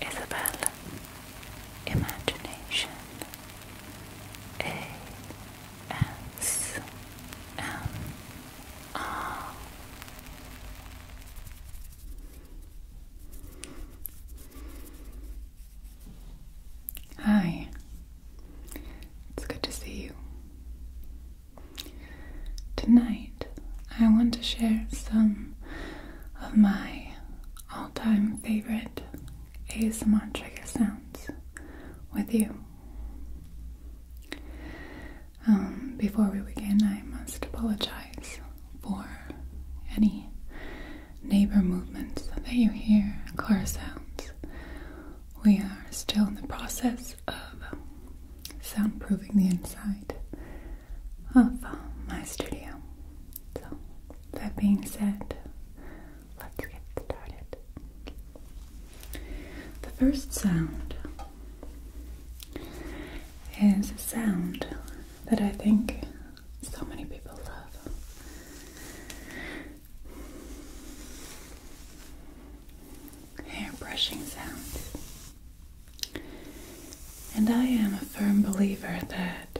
Isabel, Imagination, A S M R. Hi, it's good to see you. Tonight, I want to share some of my all time favorite ASMR sounds with you. Um, before we begin, I must apologize for any neighbor movements that you hear, car sounds. We are still in the process of soundproofing the inside of uh, my studio. So, that being said, let's get started. The first sound is a sound that I think so many people love. Hair brushing sound. And I am a firm believer that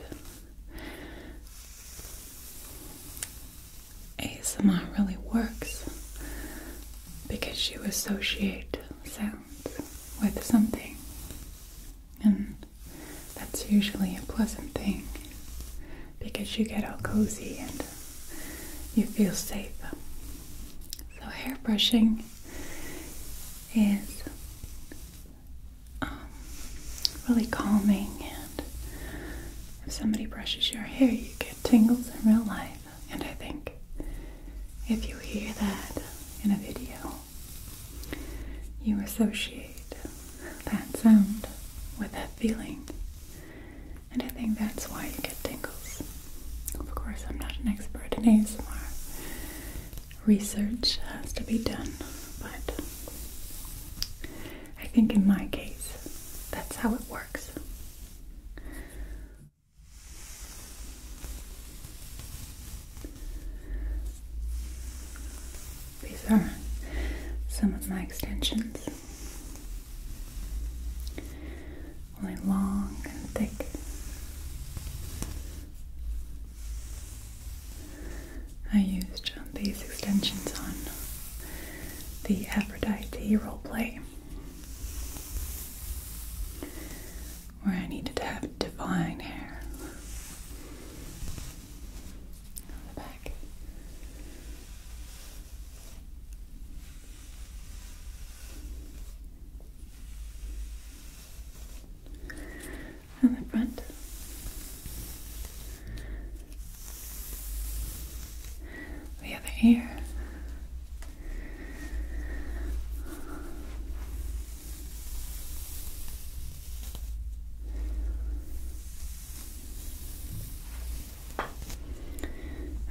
ASMR really works because you associate sounds with something, and that's usually a pleasant thing because you get all cozy and you feel safe. So, hair brushing is um, really calming, and if somebody brushes your hair, you get tingles in real life. And I think if you hear that in a video, you associate that sound with that feeling. And I think that's why you get tingles. Of course, I'm not an expert in ASMR. Research has to be done, but I think in my case, that's how it works. These are some of my extensions. Only long and thick. I used um, these extensions on the Aphrodite role play, where I needed to have divine hair on the back and the front. The other ear.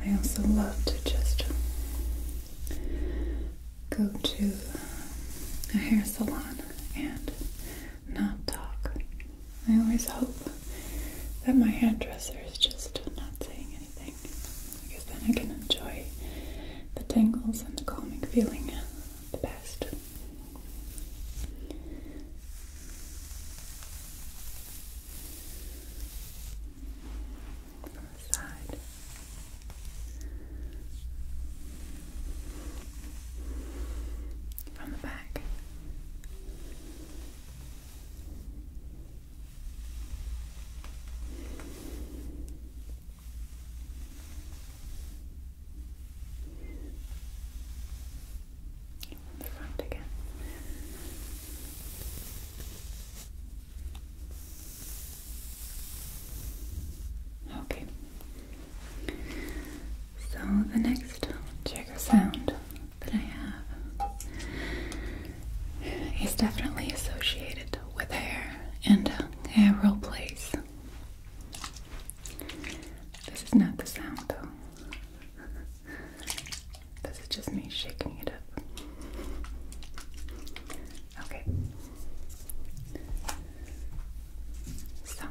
I also love to just go to a hair salon and not talk. I always hope that my hairdresser is just not saying anything because then I can enjoy the tangles and the calming feeling the best. From the side. From the back. From the the front again. Okay. So the next trigger sound that I have is definitely associated with hair and hair roll plays. This is not the sound though. This is just me shaking it up. Okay. So,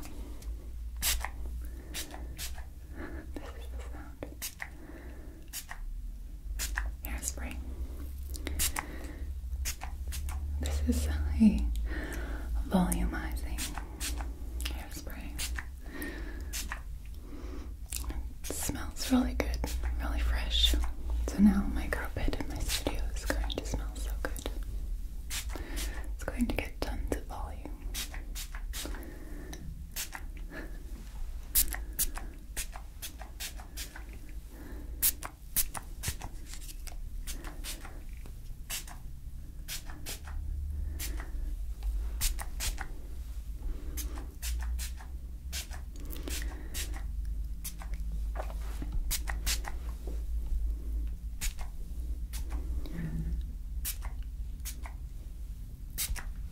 Hairspray. This is a volumizing hairspray. It smells really good, really fresh. So now my girl bed in my studio is going to smell so good. It's going to get tons of volume.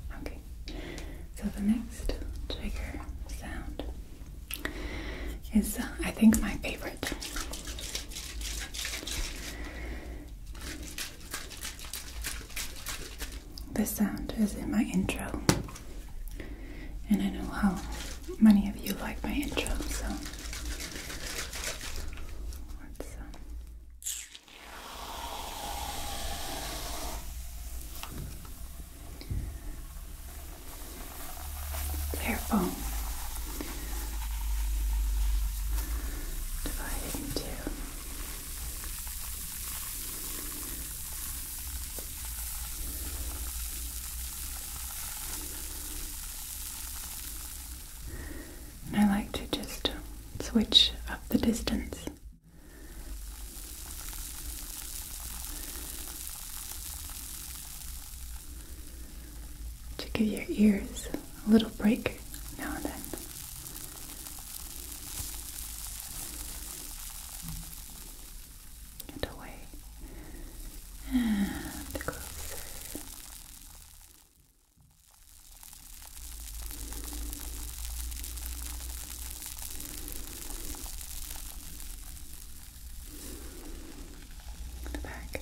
Okay, so the next trigger sound is, uh, I think, my favorite. The sound is in my intro, and I know how many of you like my intro, so um, Careful, divide it in I like to just switch up the distance to give your ears a little break now and then. And away. And closer. The back.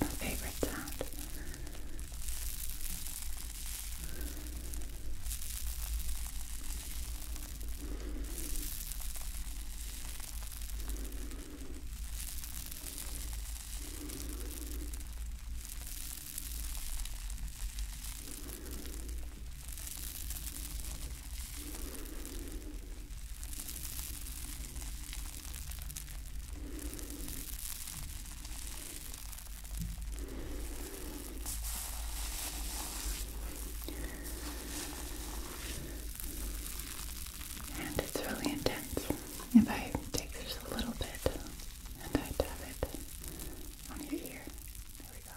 Our favorite sound. And it's really intense. If I take just a little bit and I dab it on your ear, there we go.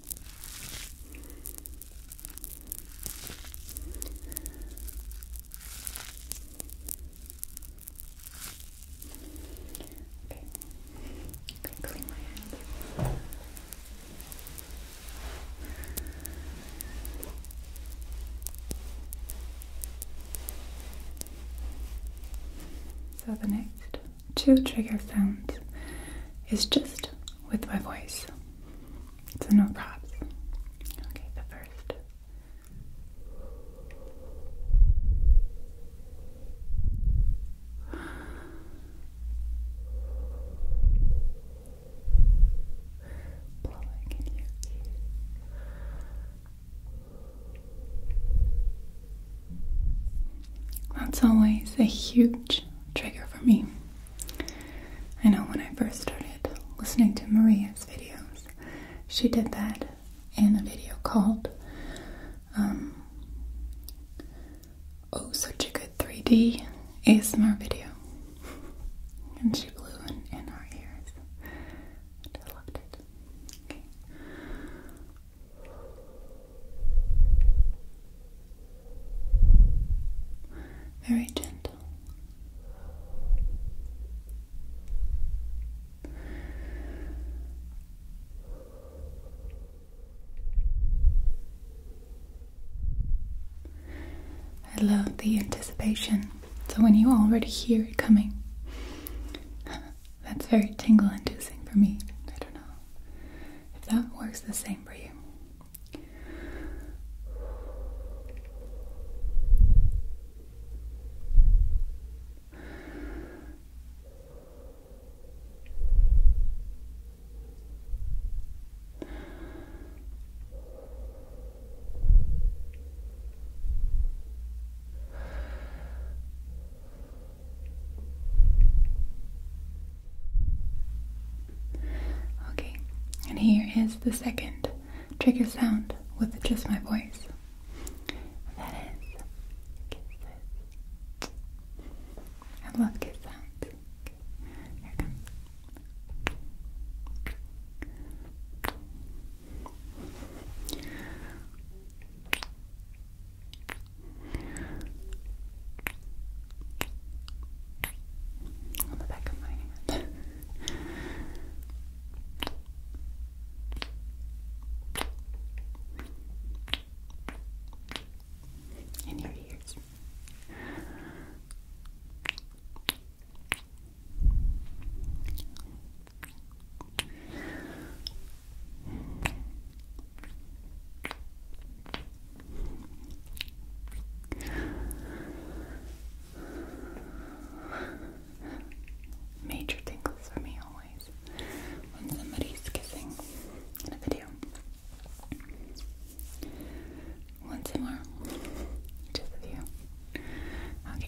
Okay, I'm gonna clean my hand. So the next two trigger sounds is just with my voice. So no props. Okay, the first. Blowing in your That's always a huge trigger for me. I know when I first started listening to Maria's videos, she did that in a video called um, Oh, Such a Good 3D ASMR video. and she blew in, our ears. I loved it very gentle. I love the anticipation. So when you already hear it coming, that's very tingle inducing for me. I don't know if that works the same for you. Okay, and here is the second trigger sound with just my voice. That is kisses. I love kiss Here comes on the back of my hand. In your ears. Major tingles for me always when somebody's kissing in a video. Once more, just a few. Okay.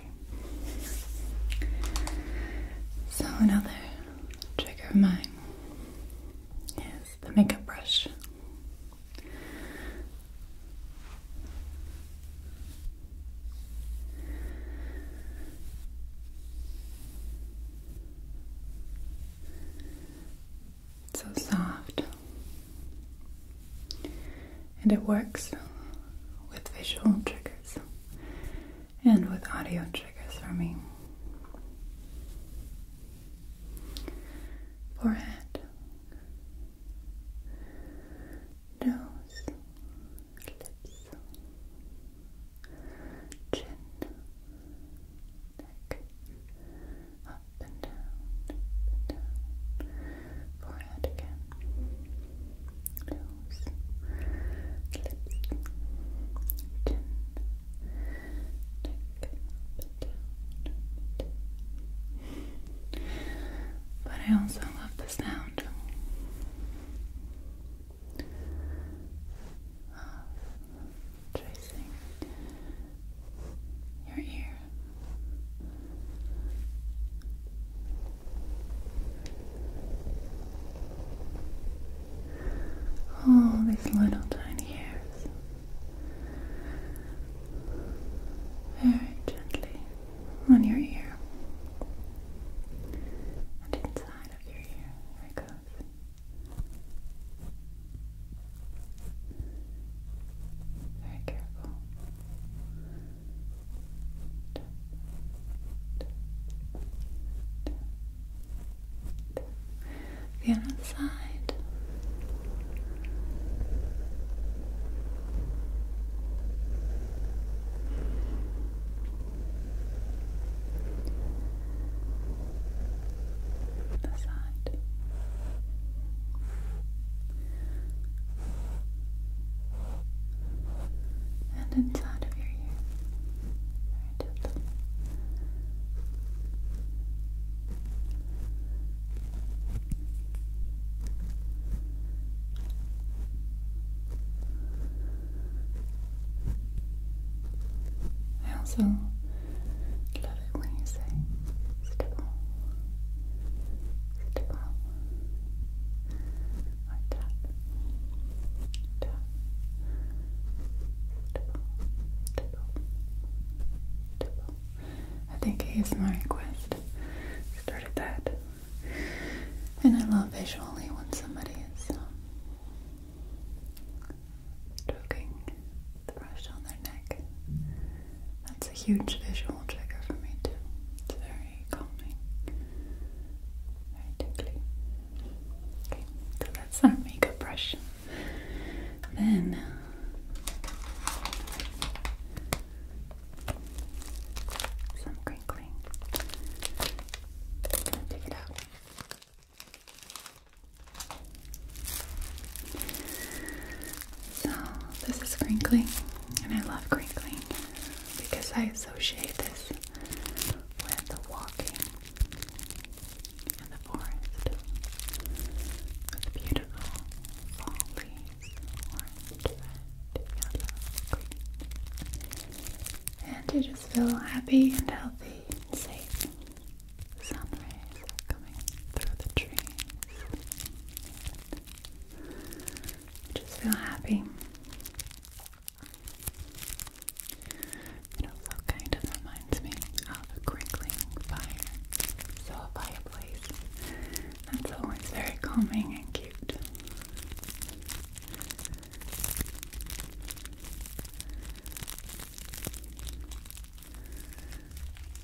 So another trigger of mine is the makeup brush. so soft, and it works with visual triggers and with audio triggers for me. Forehead, nose, lips, chin, neck, up and down, down, forehead forehead again. Nose, lips, chin, neck, But I also love the sound tracing your ear. All these little tiny hairs. Very gently on your ear and inside of your ear. There it Very careful. The other side. The side and inside of your ear. Very I also love it when you say stipple, stipple, or tap, tap, tipple, tipple, tipple. I think ASMR Quest started that, and I love visually when somebody is um, stroking the brush on their neck. That's a huge visual trigger for me too. It's very calming, very tingly. Okay, so that's our makeup brush. Then uh, some crinkling. gonna take it out. So oh, this is crinkling, and I love crinkling because I associate this with walking in the forest with beautiful fall leaves, and you just feel happy and healthy and safe. The coming through the trees. Just feel happy. It also kind of reminds me of a crinkling fire. So a fireplace. That's always very calming and cute.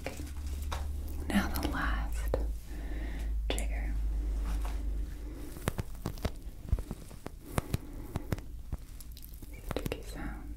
Okay, now the last trigger. Sticky sounds.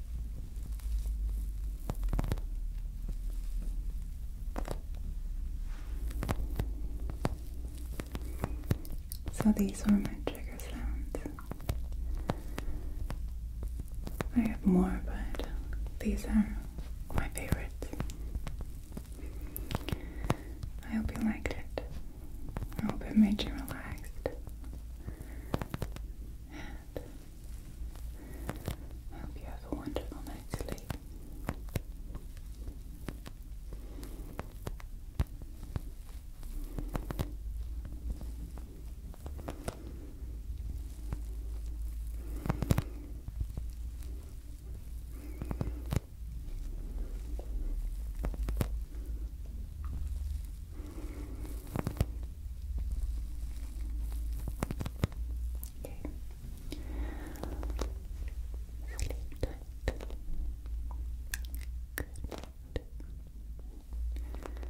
So these were my trigger sounds. I have more, but these are my favorites. I hope you liked it. I hope it made you relaxed. I hope you have a wonderful night's sleep. Okay. Sleep tight. Good. Bye.